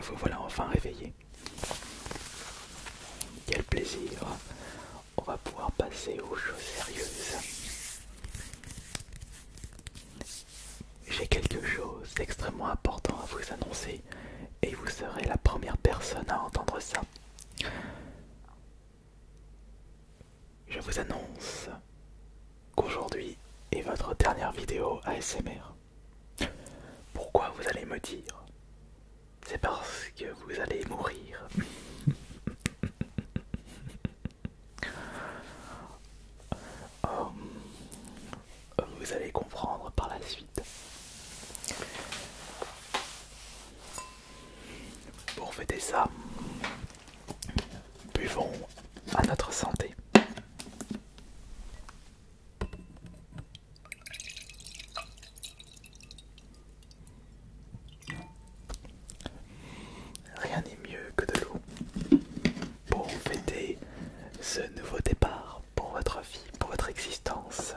Vous voilà enfin réveillé. Quel plaisir. On va pouvoir passer aux choses sérieuses. J'ai quelque chose d'extrêmement important à vous annoncer et vous serez la première personne à entendre ça. Je vous annonce qu'aujourd'hui est votre dernière vidéo ASMR. Pourquoi vous allez me dire C'est parce que vous allez mourir. Hum vous allez comprendre par la suite. Pour fêter ça, buvons à notre santé. Rien n'est mieux que de l'eau pour fêter ce nouveau départ pour votre vie, pour votre existence.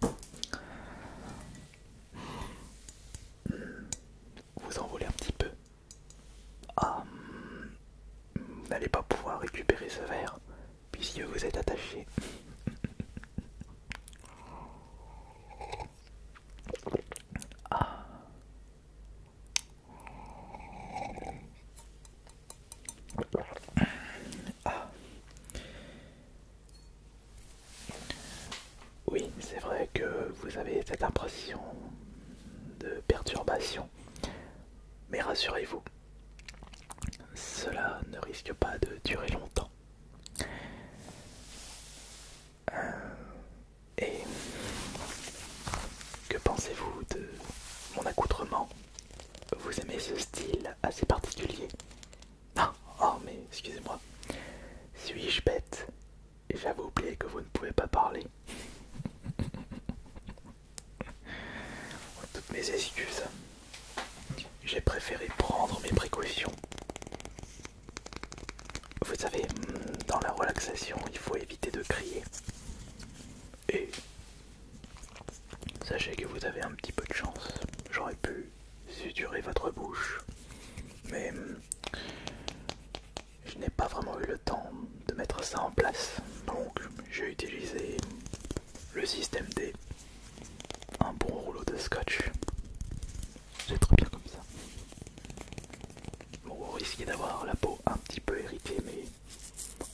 Vous en voulez un petit peu. vous ah, n'allez pas pouvoir récupérer ce verre puisque vous êtes attaché. Ah, ah. Oui, c'est vrai que vous avez cette impression de perturbation, mais rassurez-vous, cela ne risque pas de durer longtemps. Euh, et que pensez-vous de mon accoutrement Vous aimez ce style assez particulier Ah, oh mais excusez-moi. Suis-je bête Et j'avais oublié que vous ne pouvez pas parler. Toutes mes excuses. J'ai préféré prendre mes précautions. Vous savez, dans la relaxation, il faut éviter de crier. Et sachez que vous avez un petit peu de chance. J'aurais pu suturer votre bouche, mais je n'ai pas vraiment eu le temps de mettre ça en place. Donc j'ai utilisé le système D, un bon rouleau de scotch. C'est trop bien comme ça. Vous risquez d'avoir la peau un petit peu héritée mais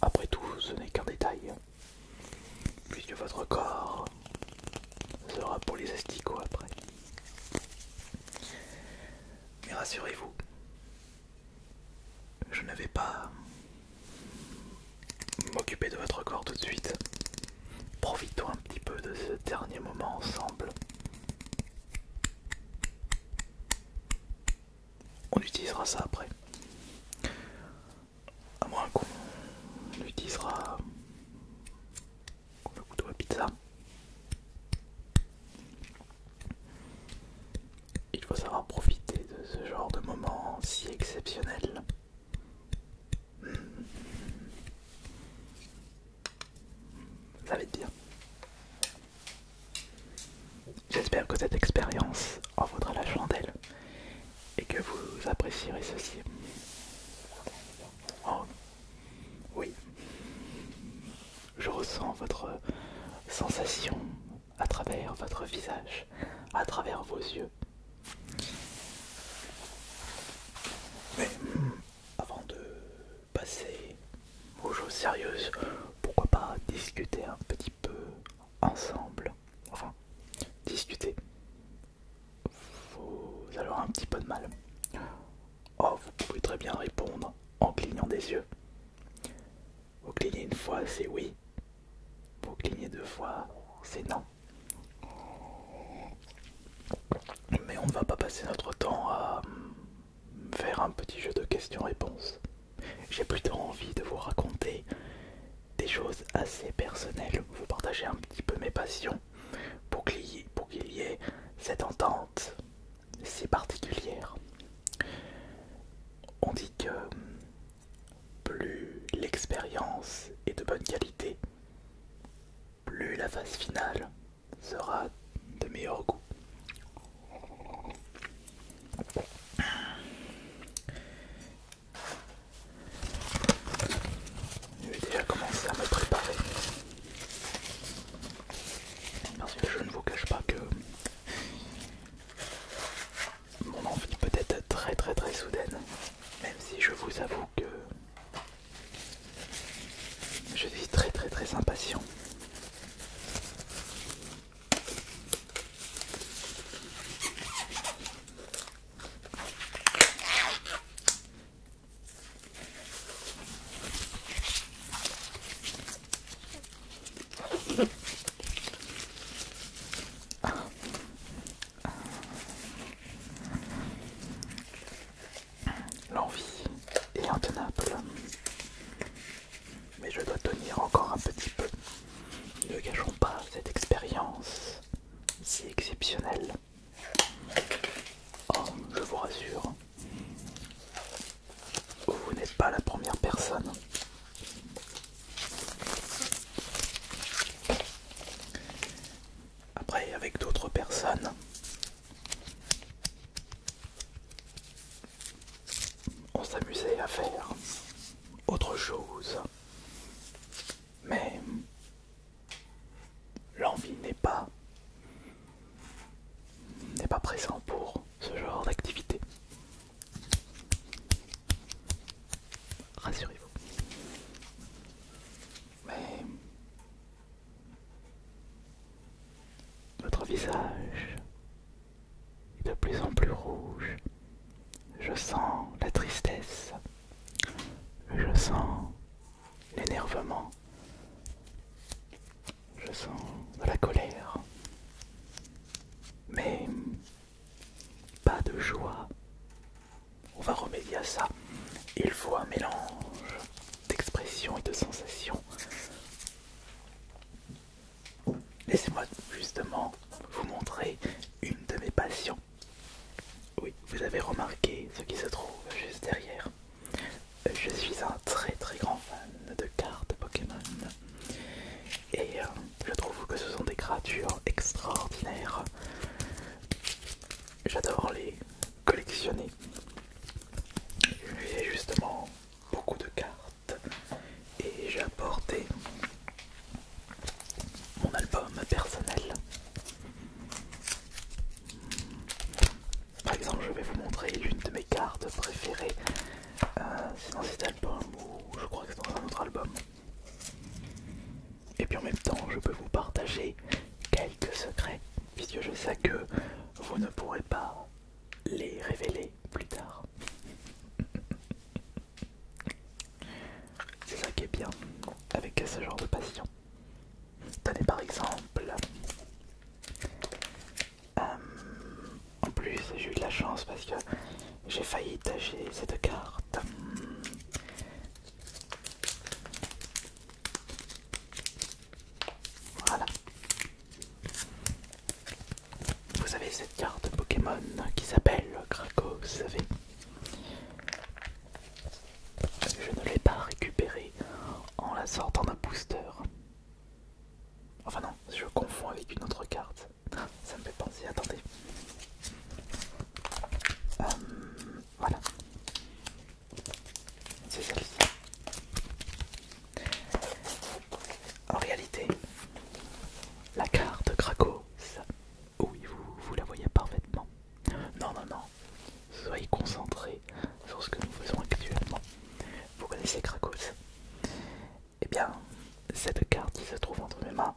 après tout, ce n'est qu'un détail. Puisque votre corps sera pour les asticots après. Mais rassurez-vous, je ne vais pas m'occuper de votre corps tout de suite. Profitons un petit peu de ce dernier moment ensemble. On utilisera ça après. À moins qu'on utilisera le couteau à pizza. Il faut savoir profiter de ce genre de moment si exceptionnel. Ça va être bien. J'espère que cette expérience en vaudra la chandelle et que vous apprécierez ceci. Oh, oui, je ressens votre sensation à travers votre visage, à travers vos yeux. Mais avant de passer aux choses sérieuses, pourquoi pas discuter un petit peu ensemble, enfin discuter. Vous allez avoir un petit peu de mal. Oh, vous pouvez très bien répondre en clignant des yeux. Vous clignez une fois, c'est oui. Vous clignez deux fois, c'est non. Mais on ne va pas passer notre temps à faire un petit jeu de questions-réponses. J'ai plutôt envie de vous raconter des choses assez personnelles, vous partager un petit peu mes passions pour qu'il y, ait cette entente si particulière. On dit que plus l'expérience est de bonne qualité, plus la phase finale sera de meilleur goût. Je vais déjà commencer à me préparer. Parce que je ne vous cache pas que mon envie peut être très très très soudaine. Même si je vous avoue que je suis très très très impatient. L'envie est intenable. Mais je dois tenir encore un petit peu. Ne gâchons pas cette expérience si exceptionnelle. Oh, je vous rassure, vous n'êtes pas la première personne. Après, avec d'autres personnes, on s'amusait à faire autre chose. Mais l'envie n'est pas n'est pas présent pour ce genre d'activité. Rassurez-vous mais votre visage est de plus en plus rouge. Je sens la tristesse, je sens l'énervement, je sens de la colère, mais pas de joie. On va remédier à ça. Il faut un mélange d'expression et de sensation. Laissez-moi justement vous montrer une de mes passions. Oui, vous avez remarqué ce qui se trouve juste derrière. Je suis un très très grand fan de cartes Pokémon. Et euh, je trouve que ce sont des créatures extraordinaires. J'adore les, collectionner. J'ai justement beaucoup de cartes et j'ai apporté mon album personnel. Par exemple, je vais vous montrer l'une de mes cartes préférées. Euh, c'est dans cet album ou je crois que c'est dans un autre album et puis en même temps je peux vous partager quelques secrets puisque je sais que vous ne pourrez pas les révéler plus tard. C'est ça qui est bien avec ce genre de passion. Tenez par exemple, euh, en plus j'ai eu de la chance parce que j'ai failli tâcher cette carte voilà. Vous avez cette carte Pokémon qui s'appelle Vous savez Je ne l'ai pas récupérée en la sortant d'un booster. Enfin non, je confonds avec une autre carte. Ça me fait penser, attendez. Euh, voilà. C'est En réalité, la carte Krakow, oui, vous, vous la voyez parfaitement. Non, non, non, soyez concentrés sur ce que nous faisons actuellement. Vous connaissez Krakow Eh bien, cette carte qui se trouve entre mes mains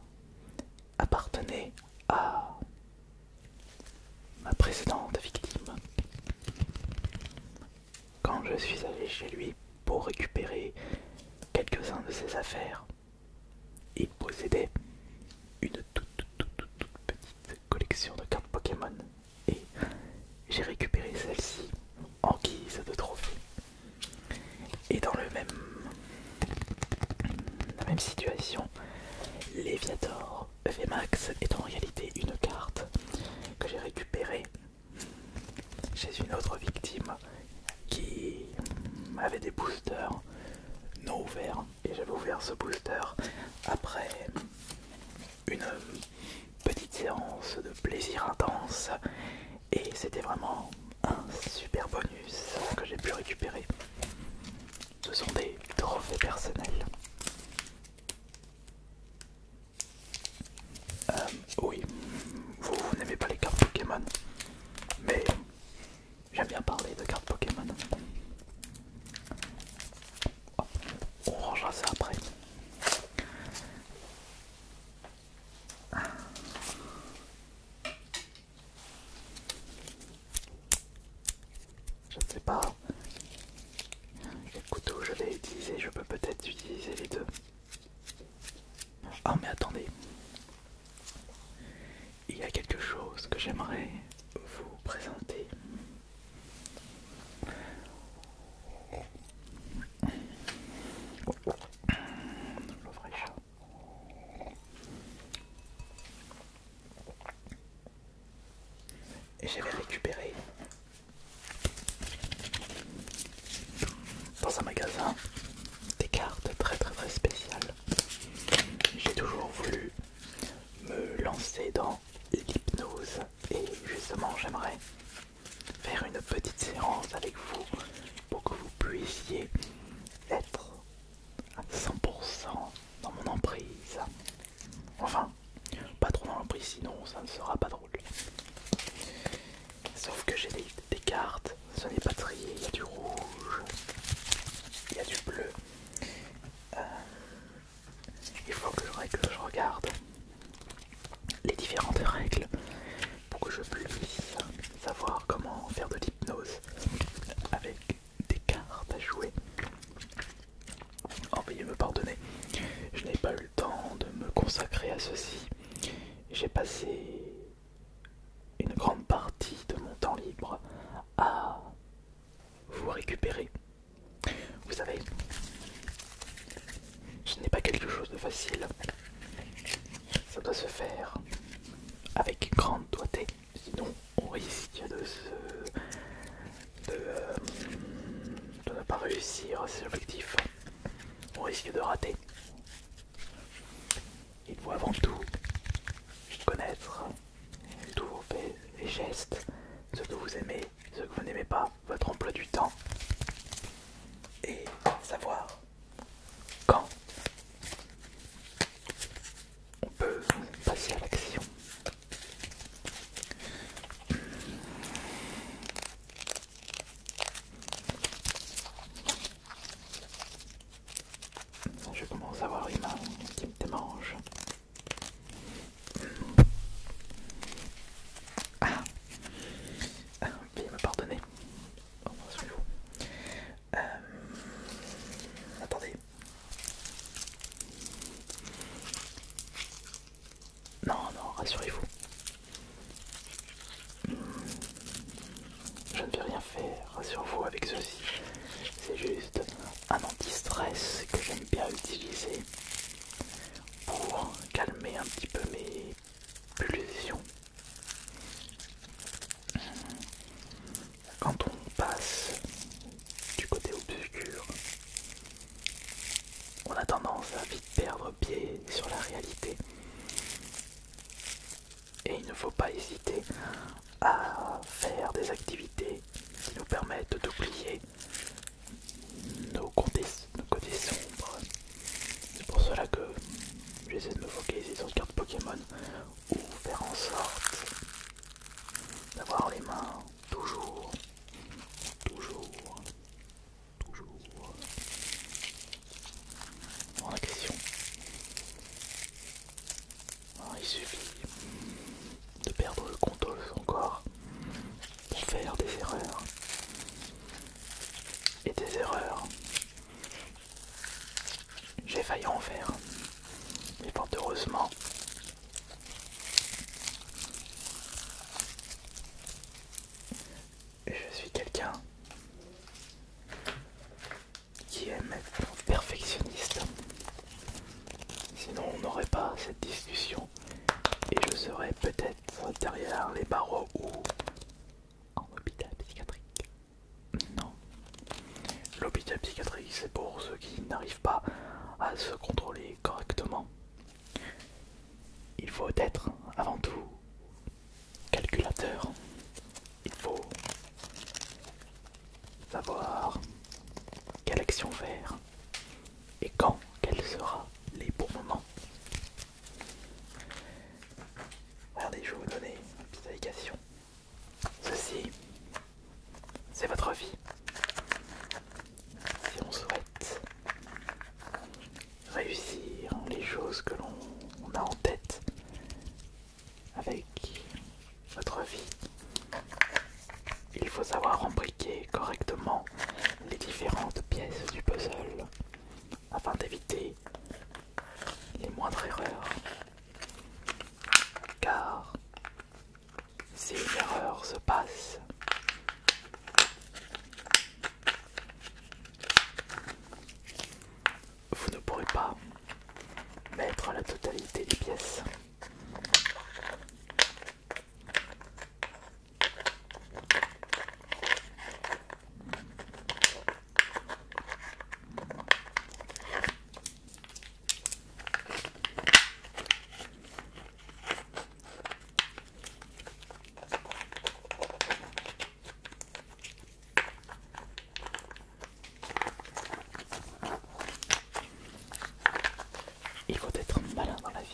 appartenait à ma précédente victime. Quand je suis allé chez lui pour récupérer quelques-uns de ses affaires, il possédait une toute, petite collection de cartes Pokémon et j'ai récupéré celle-ci en guise de trophée. Et dans le même la même situation, Leviator VMAX est en réalité une carte que j'ai récupérée chez une autre victime qui avait des boosters non ouverts et j'avais ouvert ce booster après une petite séance de plaisir intense et c'était vraiment un super bonus que j'ai pu récupérer ce sont des trophées personnels. Euh, oui, vous, n'aimez pas les cartes Pokémon, mais j'aime bien parler de cartes Pokémon. Oh, on rangera ça après. Je ne sais pas quel couteau je vais utiliser, je peux peut-être utiliser les deux. Ah mais attendez, il y a quelque chose que j'aimerais vous présenter. Et j'avais récupéré dans un magasin des cartes très très très spéciales. J'ai toujours voulu me lancer dans l'hypnose et justement j'aimerais faire une petite séance avec vous pour que vous puissiez être à 100% dans mon emprise. Enfin, pas trop dans l'emprise, sinon ça ne sera pas drôle. Sauf que j'ai des, cartes, ce n'est pas trié, il y a du rouge, il y a du bleu. Euh, il faut que je regarde les différentes règles pour que je puisse savoir comment faire de l'hypnose avec des cartes à jouer. Oh, veuillez me pardonner, je n'ai pas eu le temps de me consacrer à ceci. J'ai passé une grande partie de mon temps libre à vous récupérer. Vous savez, ce n'est pas quelque chose de facile. Ça doit se faire avec grande doigté. Sinon, on risque de, euh, ne pas réussir ses objectifs. On risque de rater. Il faut avant tout connaître tous vos gestes, ce que vous aimez, ce que vous n'aimez pas, votre emploi du temps, et savoir quand on peut passer à l'action. Je commence à avoir une main qui me démange. Ah, ah veuillez me pardonner. Euh, attendez. Non, non, rassurez-vous. Je ne peux rien faire, rassurez-vous avec ceci. C'est juste un anti-stress que j'aime bien utiliser pour calmer un petit peu mes pulsions quand on passe du côté obscur, on a tendance à vite perdre pied sur la réalité. Et il ne faut pas hésiter à faire des activités qui nous permettent d'oublier nos côtés, sombres. C'est pour cela que J'essaie de me focaliser sur les carte Pokémon ou faire en sorte d'avoir les mains toujours, toujours, toujours en question. il suffit de perdre le contrôle encore pour faire des erreurs. Et des erreurs j'ai failli en faire. Mais fort heureusement. Je suis quelqu'un qui aime être perfectionniste. Sinon on n'aurait pas cette discussion. Et je serais peut-être derrière les barreaux ou en hôpital psychiatrique. Non. L'hôpital psychiatrique, c'est pour ceux qui n'arrivent pas à se contrôler correctement. Il faut être avant tout calculateur. Il faut savoir quelle action faire et quand quels sera les bons moments Regardez, je vais vous donner une petite indication. Ceci, c'est votre vie. Si on souhaite réussir les choses que l'on a en tête avec votre vie, il faut savoir embriquer correctement les différentes pièces du puzzle afin d'éviter les moindres erreurs. Car si une erreur se passe, vous ne pourrez pas mettre la totalité des pièces. Il faut être malin dans la vie.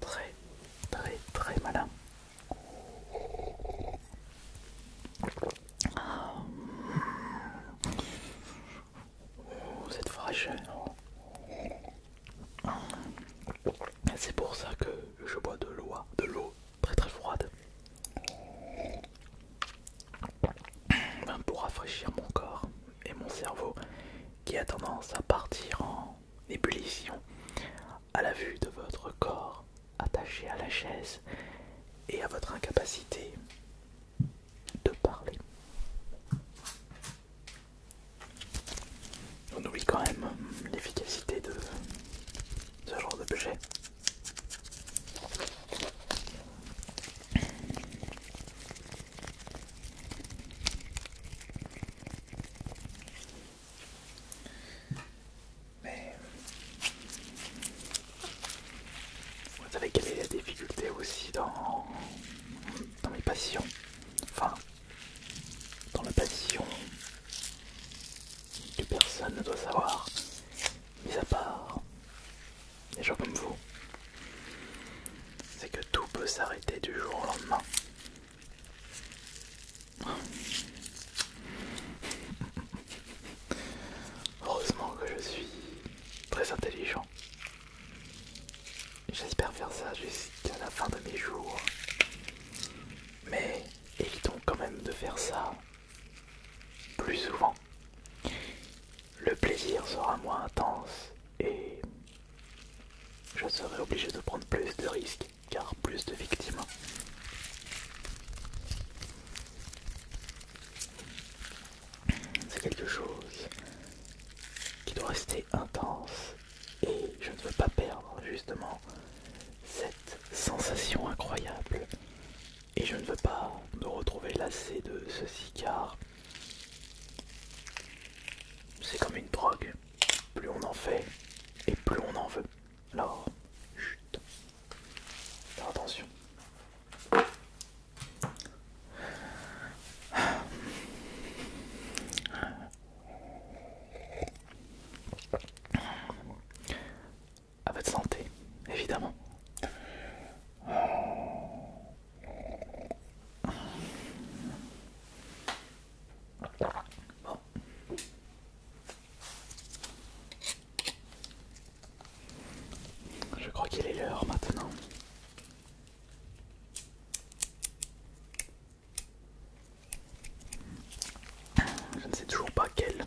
Très, très, très malin. Cette fraîcheur. C'est pour ça que je bois de l'eau, de l'eau très très froide. Pour rafraîchir mon corps et mon cerveau qui a tendance à partir en à la vue de votre corps attaché à la chaise et à votre incapacité de parler. On oublie quand même l'efficacité de ce genre de mais vous savez quelle est la difficulté aussi dans, mes passions, enfin dans la passion que personne ne doit savoir, mis à part des gens comme vous, c'est que tout peut s'arrêter du jour au lendemain. Heureusement que je suis très intelligent. J'espère faire ça jusqu'à la fin de mes jours. Mais évitons quand même de faire ça plus souvent. Le plaisir sera moins intense et je serai obligé de prendre plus de risques car plus de victimes. C'est quelque chose qui doit rester intense et je ne veux pas perdre justement cette sensation incroyable et je ne veux pas me retrouver lassé de ceci car c'est comme une drogue plus on en fait et plus on en veut. Alors, chut. Faire attention. À votre santé, évidemment. Je crois qu'il est l'heure maintenant. Je ne sais toujours pas quelle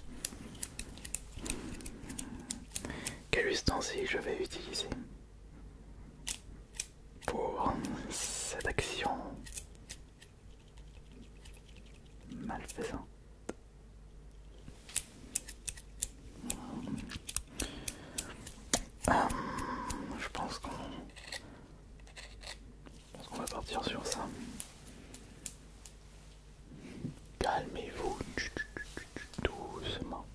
quel ustensile je vais utiliser pour cette action malfaisante. Euh, je pense qu'on va partir sur ça. Calmez-vous doucement.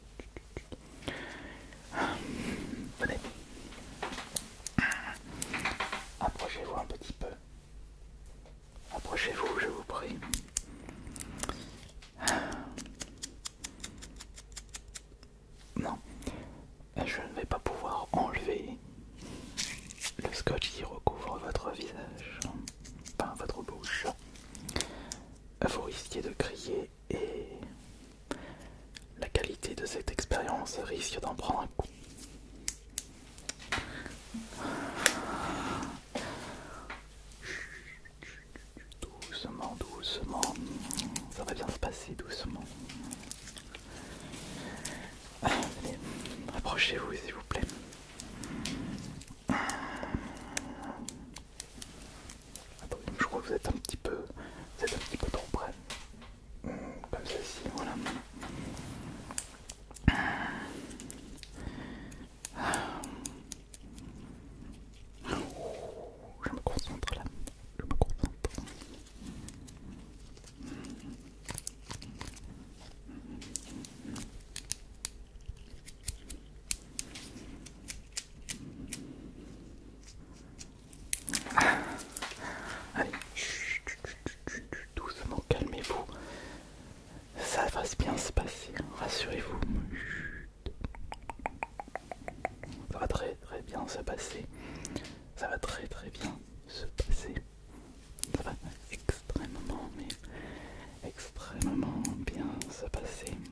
Approchez-vous un petit peu. Approchez-vous, je vous prie. Non, je ne vais pas pouvoir enlever le scotch qui recouvre votre visage, enfin votre bouche. Vous risquez de crier et la qualité de cette expérience risque d'en prendre un coup. Doucement, doucement, ça va bien se passer doucement. approchez-vous s'il vous plaît je crois que vous êtes un petit peu, vous êtes un petit peu trop près. Hmm, comme ceci, voilà. Oh, je me concentre là, je me concentre. Allez, doucement, calmez-vous. Ça va bien se passer, rassurez-vous. Ça va très très bien se passer. Ça va très très bien se passer. Ça va extrêmement, mais extrêmement bien se passer.